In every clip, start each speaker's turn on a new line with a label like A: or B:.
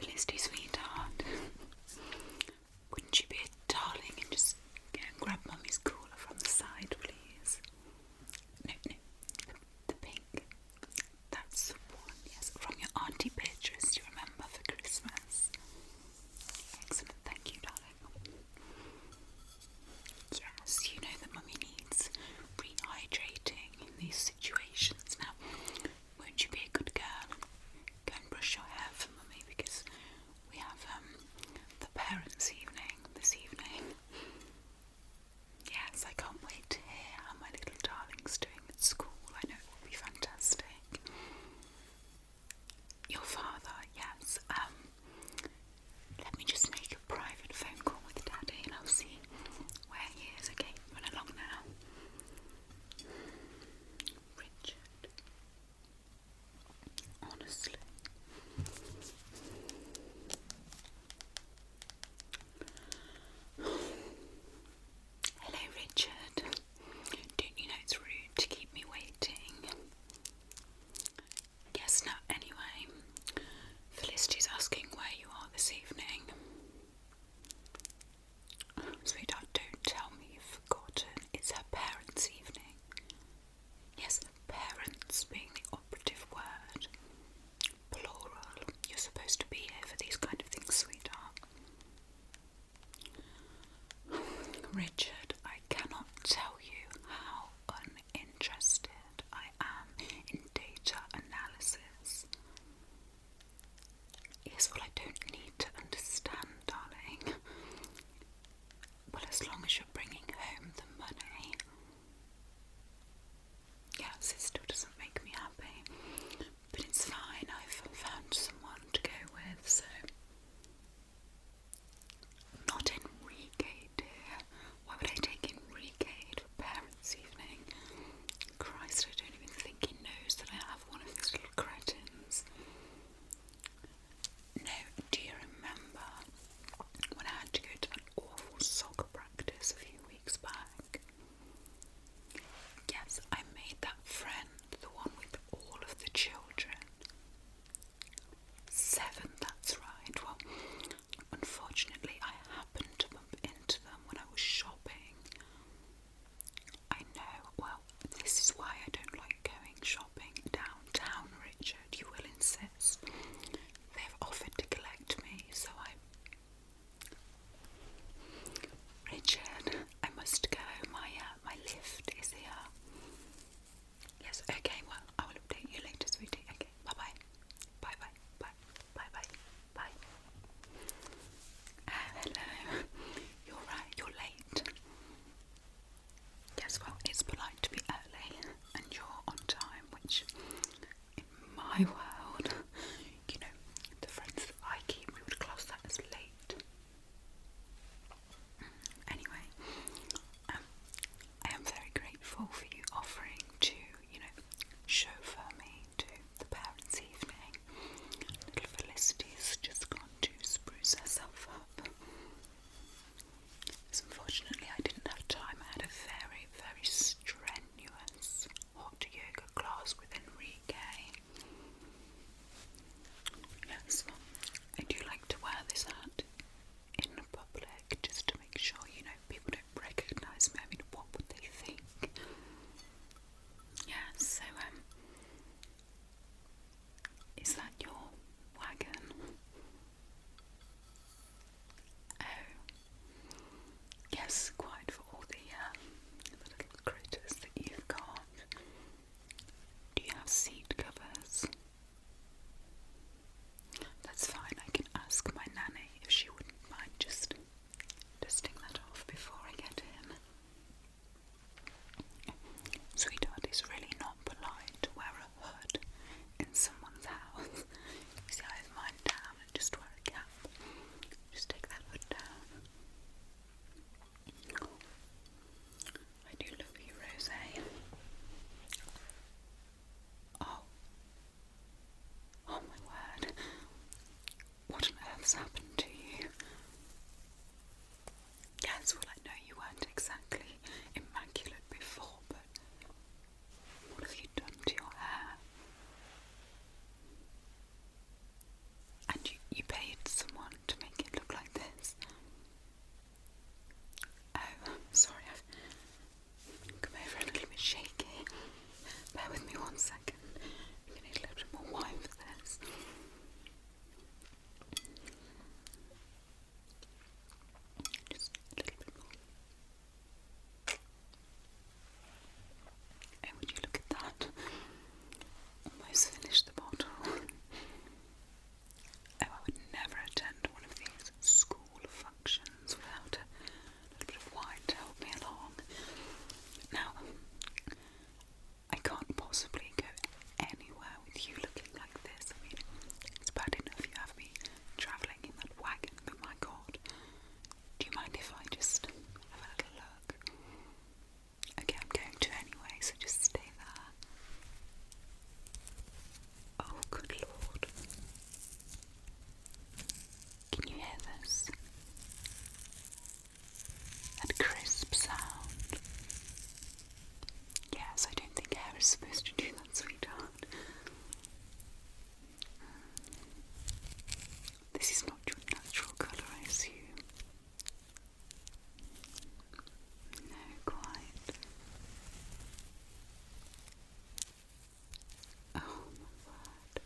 A: Please do, sweetheart. Wouldn't you be a darling and just go and grab mommy's cooler from the side, please? No, no. The pink. That's the one, yes. From your Auntie Beatrice, you remember, for Christmas. Excellent, thank you, darling. Yes, you know that Mummy needs rehydrating in these situations. Now, won't you be a good girl? Go and brush your hair for mummy because we have um, the parents' evening this evening. Yes, I can't wait to hear how my little darling's doing at school. I know it will be fantastic. Your father, yes. Um, let me just make private phone call with Daddy and I'll see where he is. Okay, run along now. Richard. Honestly. Hello, Richard. Don't you know it's rude to keep me waiting? Yes, no, anyway. Felicity's asking where you are this evening. Sweetheart, don't tell me you've forgotten. It's her parents' evening. Yes, parents being the operative word. Plural. You're supposed to be here for these kind of things, sweetheart. Richard, I cannot tell you how interested. I am in data analysis. Yes, well, I don't need to understand, darling. Well, as long as you're bringing home the money. Yes, it still doesn't make me happy, but it's fine. I've found someone to go with, so. Not Enrique, dear. Why would I take in Reggae for parents' evening? Christ, I don't even think he knows that I have one of these little cretins. No, do you remember when I had to go to an awful soccer practice a few weeks back? Yes, I made that friend, the one with all of the children. Seven, that's right. Well, Unfortunately, I happened to bump into them when I was shopping. I know, well, this is why I don't like going shopping downtown, Richard. You will insist. They've offered to collect me, so I. Richard, I must go. My uh, my lift is here. Yes, okay, well, I will update you later, sweetie. Okay. Bye. Bye-bye. Ah, hello. You're right, you're late. Yes, well, it's polite to be early and you're on time, which in my world, you know, the friends that I keep, would class that as late. Anyway, um, I am very grateful for you offering to you know, chauffeur me to the parents' evening. Little Felicity's just gone to spruce herself up. unfortunately, I didn't have time. I had a very, very strenuous hot yoga class with Enrique. Yes, I do like to wear this hat in public just to make sure, you know, people recognise me, I mean, what would they think? Yeah, so, um, is that your wagon? Oh, yes, quite for all uh, the little critters that you've got. Do you have seat covers? That's fine, I can ask my nanny if she wouldn't mind just dusting that off before I get in. Sweetheart, it's really not polite to wear a hood in someone's house. see, I have mine down and just wear a cap. Just take that hood down. I do love you, Rose. Oh, Oh my word. What on earth's happened to you? Yes, well, I know you weren't exactly immaculate before, but what have you done to your hair? And you, you paid someone to make it look like this? Oh, sorry, come over a little bit shaky. Bear with me one second. I'm need a little bit more wine for this. Just a little bit more. And would you look at that? Almost finished the bottle. Oh, I would never attend one of these school functions without a a little bit to help me along. Now, I can't possibly go anywhere with you looking like this. I mean, it's bad enough you have me travelling in that wagon, but my god. Do you mind if I just have a little look? Okay, I'm going to anyway, so just stay there. Oh, good lord. Can you hear this? That crisp sound. Yes, I don't think hair is supposed to do that, sweetheart. This is not your natural colour, I assume. No, quite. Oh my God!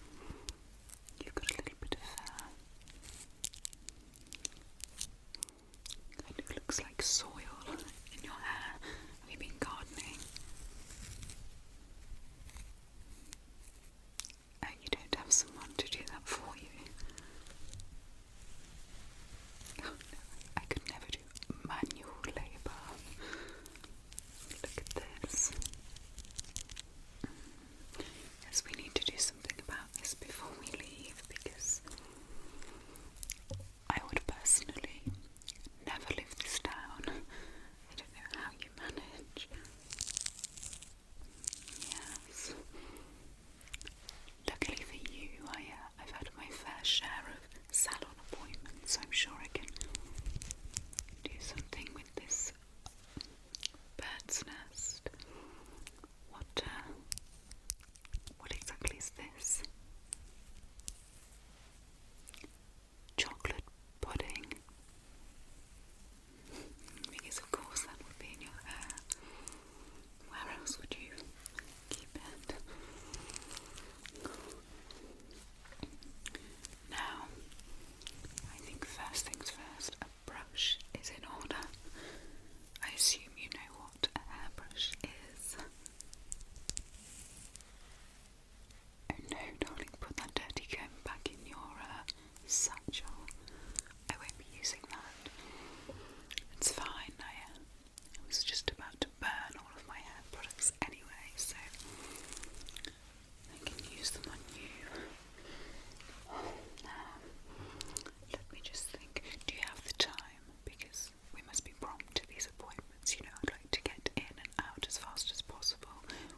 A: You've got a little bit of hair. Uh, and it looks like soil in your hair. Have you been gardening? Oh, you don't have someone to do that for you. Oh, I could never do manual labour. Look at this. Yes, we need to do something about this before we leave because I would personally never live this down. I don't know how you manage. Yes. Luckily for you, I, uh, I've had my fair share of salon appointments, so I'm sure I can do something with this bird's nest. What, uh, what exactly is this? Chocolate pudding. Because of course that would be in your hair. Where else would you keep it? Now, I think first things first, a brush is in order. I assume you know what a hairbrush is. Oh no, darling, put that dirty comb back in your uh, satchel. I won't be using that. It's fine, I, uh, I was just about to burn all of my hair products anyway, so I can use them on you. Um, let me just think. Do you have the time? Because we must be prompt to these appointments. You know, I'd like to get in and out as fast as possible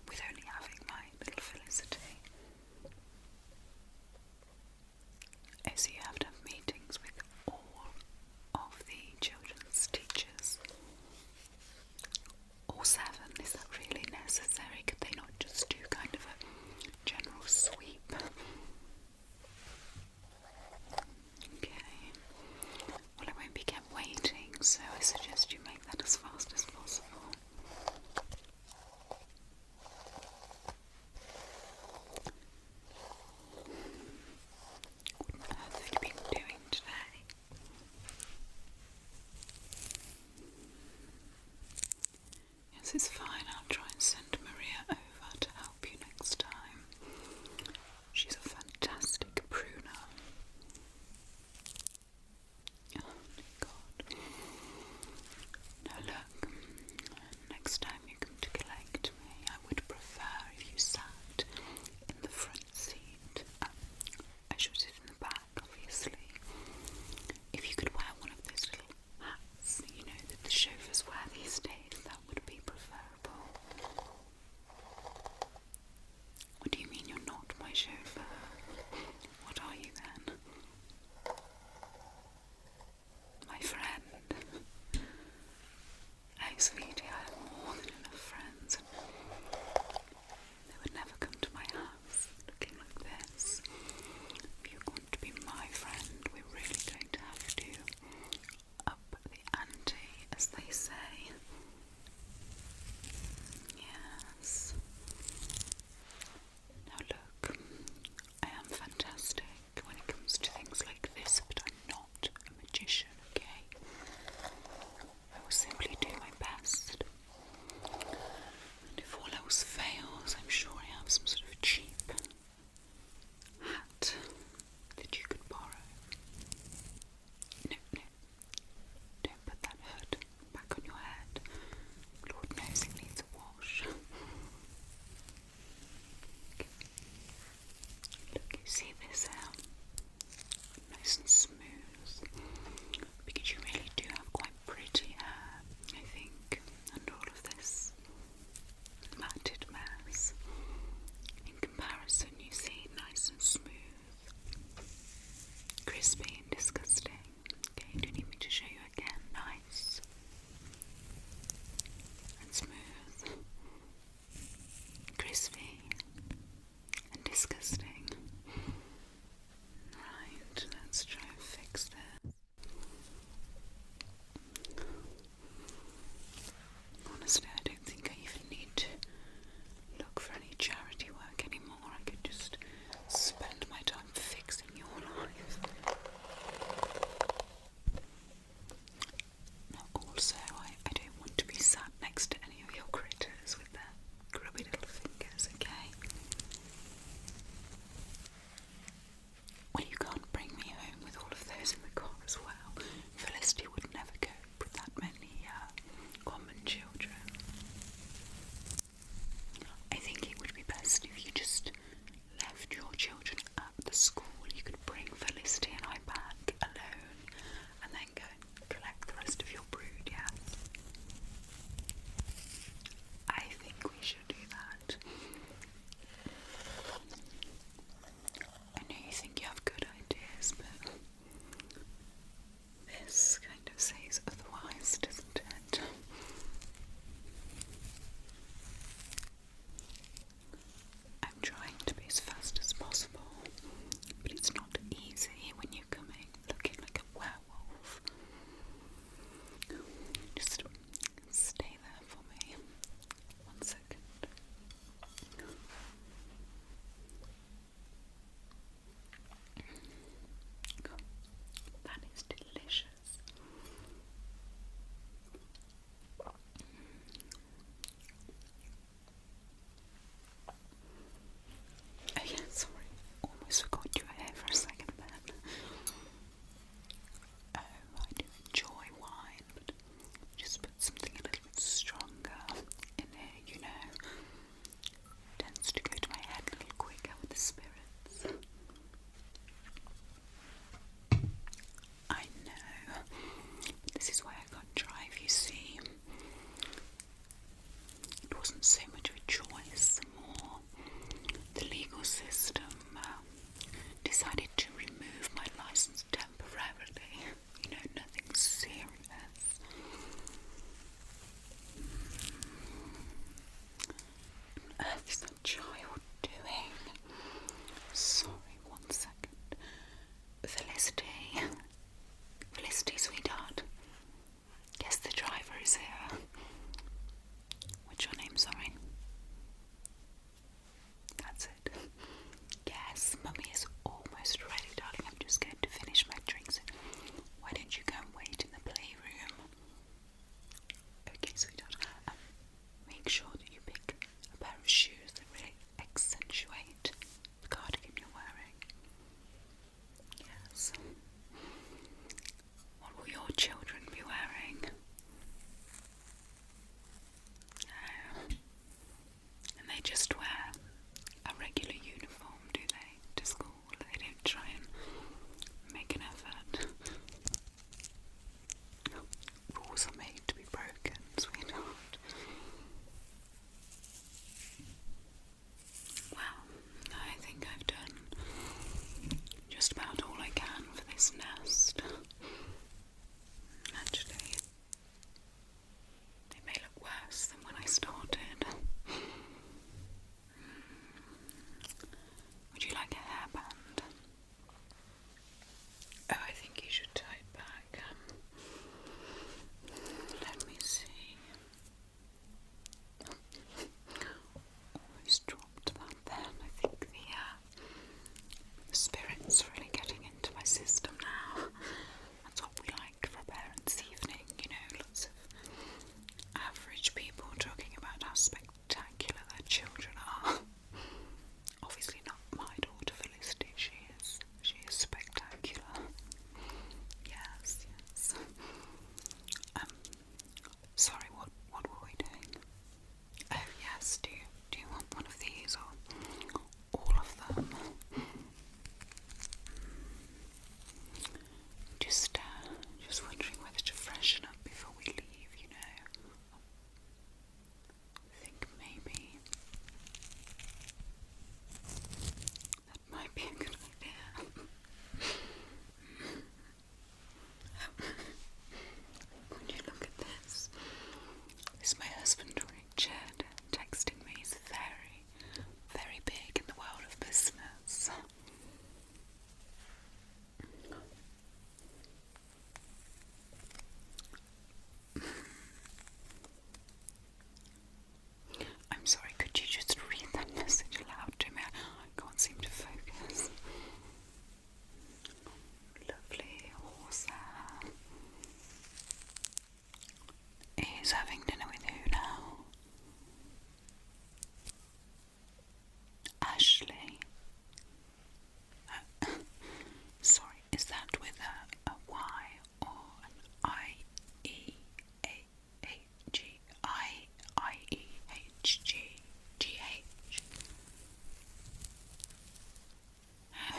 A: with only having my little Felicity. Oh, so you have to have meetings with all of the children's teachers. Or seven? Is that really necessary? Could they not just do kind of a general sweep? Okay. Well, I won't be kept waiting, so I suggest you make that as fast as possible. What on earth doing today? Yes, it's fine. I'll try and send Maria over to help you next time. She's a fantastic pruner. Oh, God. Now look, next time you come to collect me, I would prefer if you sat in the front seat. I shot it in the back, obviously. If you could wear one of those little hats, you know, that the chauffeurs wear these days, that would be preferable. What do you mean you're not my chauffeur? What are you then? My friend. Oh, sweetie, I have more than enough friends. They would never come to my house looking like this. If you want to be my friend, we're really going to have to up the ante, as they say. Yes. Now look, I am fantastic when it comes to things like this, but I'm not a magician, okay? I will simply do my best. And if all else fails, I'm sure I have some sort of cheap hat that you could borrow. No, no. Don't put that hood back on your head. Lord knows it needs a wash. Look, you see this hair? Um, nice and smooth because you really do have quite pretty hair, I think, and all of this matted mess. In comparison, you see nice and smooth, crispy and disgusting. Okay, do you need me to show you again? Nice and smooth, crispy and disgusting. Right, let's try and fix this. Honestly, I don't think I even need to look for any charity work anymore. I could just spend my time fixing your life. also, I, I don't want to be sat next to any of your critters with their grubby little fingers, okay? Well, you can't bring me home with all of those in the car as well. Felicity would never cope with that many uh, common children. I think it would be best if you just left your children at the school. You could bring Felicity and I back alone and then go and collect the rest of your brood, yes? I think we should do that. I know you think you have good ideas, but this kind of says otherwise, doesn't it? I'm trying to be as fast as possible, but it's not easy when you looking like a werewolf. Just stay there for me. One second. that is delicious. Oh yeah, sorry, almost forgot your hair for a second there, Oh, I do enjoy wine, just put something a little stronger in here, you know. Tends to go to my head a little quicker with the spirits. I know, this is why I can't drive, you see. It wasn't so much of a choice, more the legal system um, decided to remove my license temporarily. You know, nothing serious. What earth child doing? Sorry, one second. Felicity. Felicity, sweetheart. Yes, the driver is here. What's your name, sorry? That's it. Yes, mummy is almost ready, darling. I'm just going to finish my drinks. Why don't you go and wait in the playroom? Okay, sweetheart. Um, make sure that you pick a pair of shoes that really accentuate the cardigan you're wearing. Yes. What will your children be wearing? Um, and they just wear a regular uniform, do they, to school? They don't try and make an effort. Rules are made to be broken, sweetheart. Well, I think I've done just about all I can for this nest. Actually, it may look worse than when I started. Would you like a hairband? Oh, I think you should tie back. Let me see. Almost dropped then. I think the, uh, spirit's really getting into my system now. That's what we like for parents' evening, you know, lots of average people talking about how spectacular their children are. Obviously, not my daughter Felicity, she is she is spectacular. Yes, yes. Um, sorry, what what were we doing? Oh yes, do you do you want one of these or all of them? Just uh, just wondering whether to freshen up before we leave, you know. think maybe might be a good idea. Would you look at this? This is my husband, Richard, texting me. He's very, very big in the world of business. I'm sorry, could you just read that message aloud to me? I can't seem to focus. Lovely horse hair. having dinner with who now? Ashley. Uh, sorry, is that with a, a Y or an I E A H G I I E H G G H.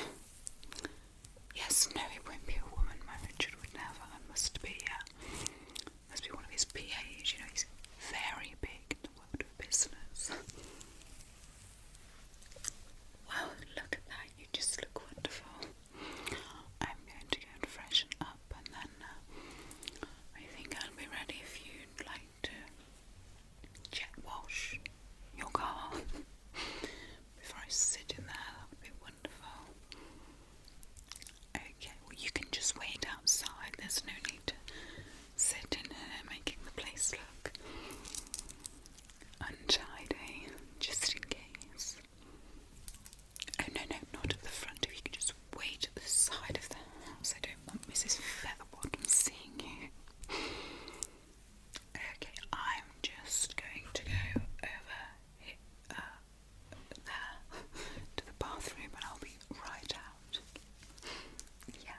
A: Yes, no, it won't be a woman. My Richard would never. I must be, uh, must be one of his PAs. You know, he's very big in the world of business. Wow, look at that. You just look wonderful. I'm going to go and up, and then uh, I think I'll be ready if you'd like to jet wash your car before I sit in there. That would be wonderful. Okay, well, you can just wait outside, there's no need to sit in here making the place look untidy, just in case. Oh no, no, not at the front. If you could just wait at the side of the house, I don't want Mrs. Featherbottom seeing you. Okay, I'm just going to go over uh, there to the bathroom, and I'll be right out. Yes.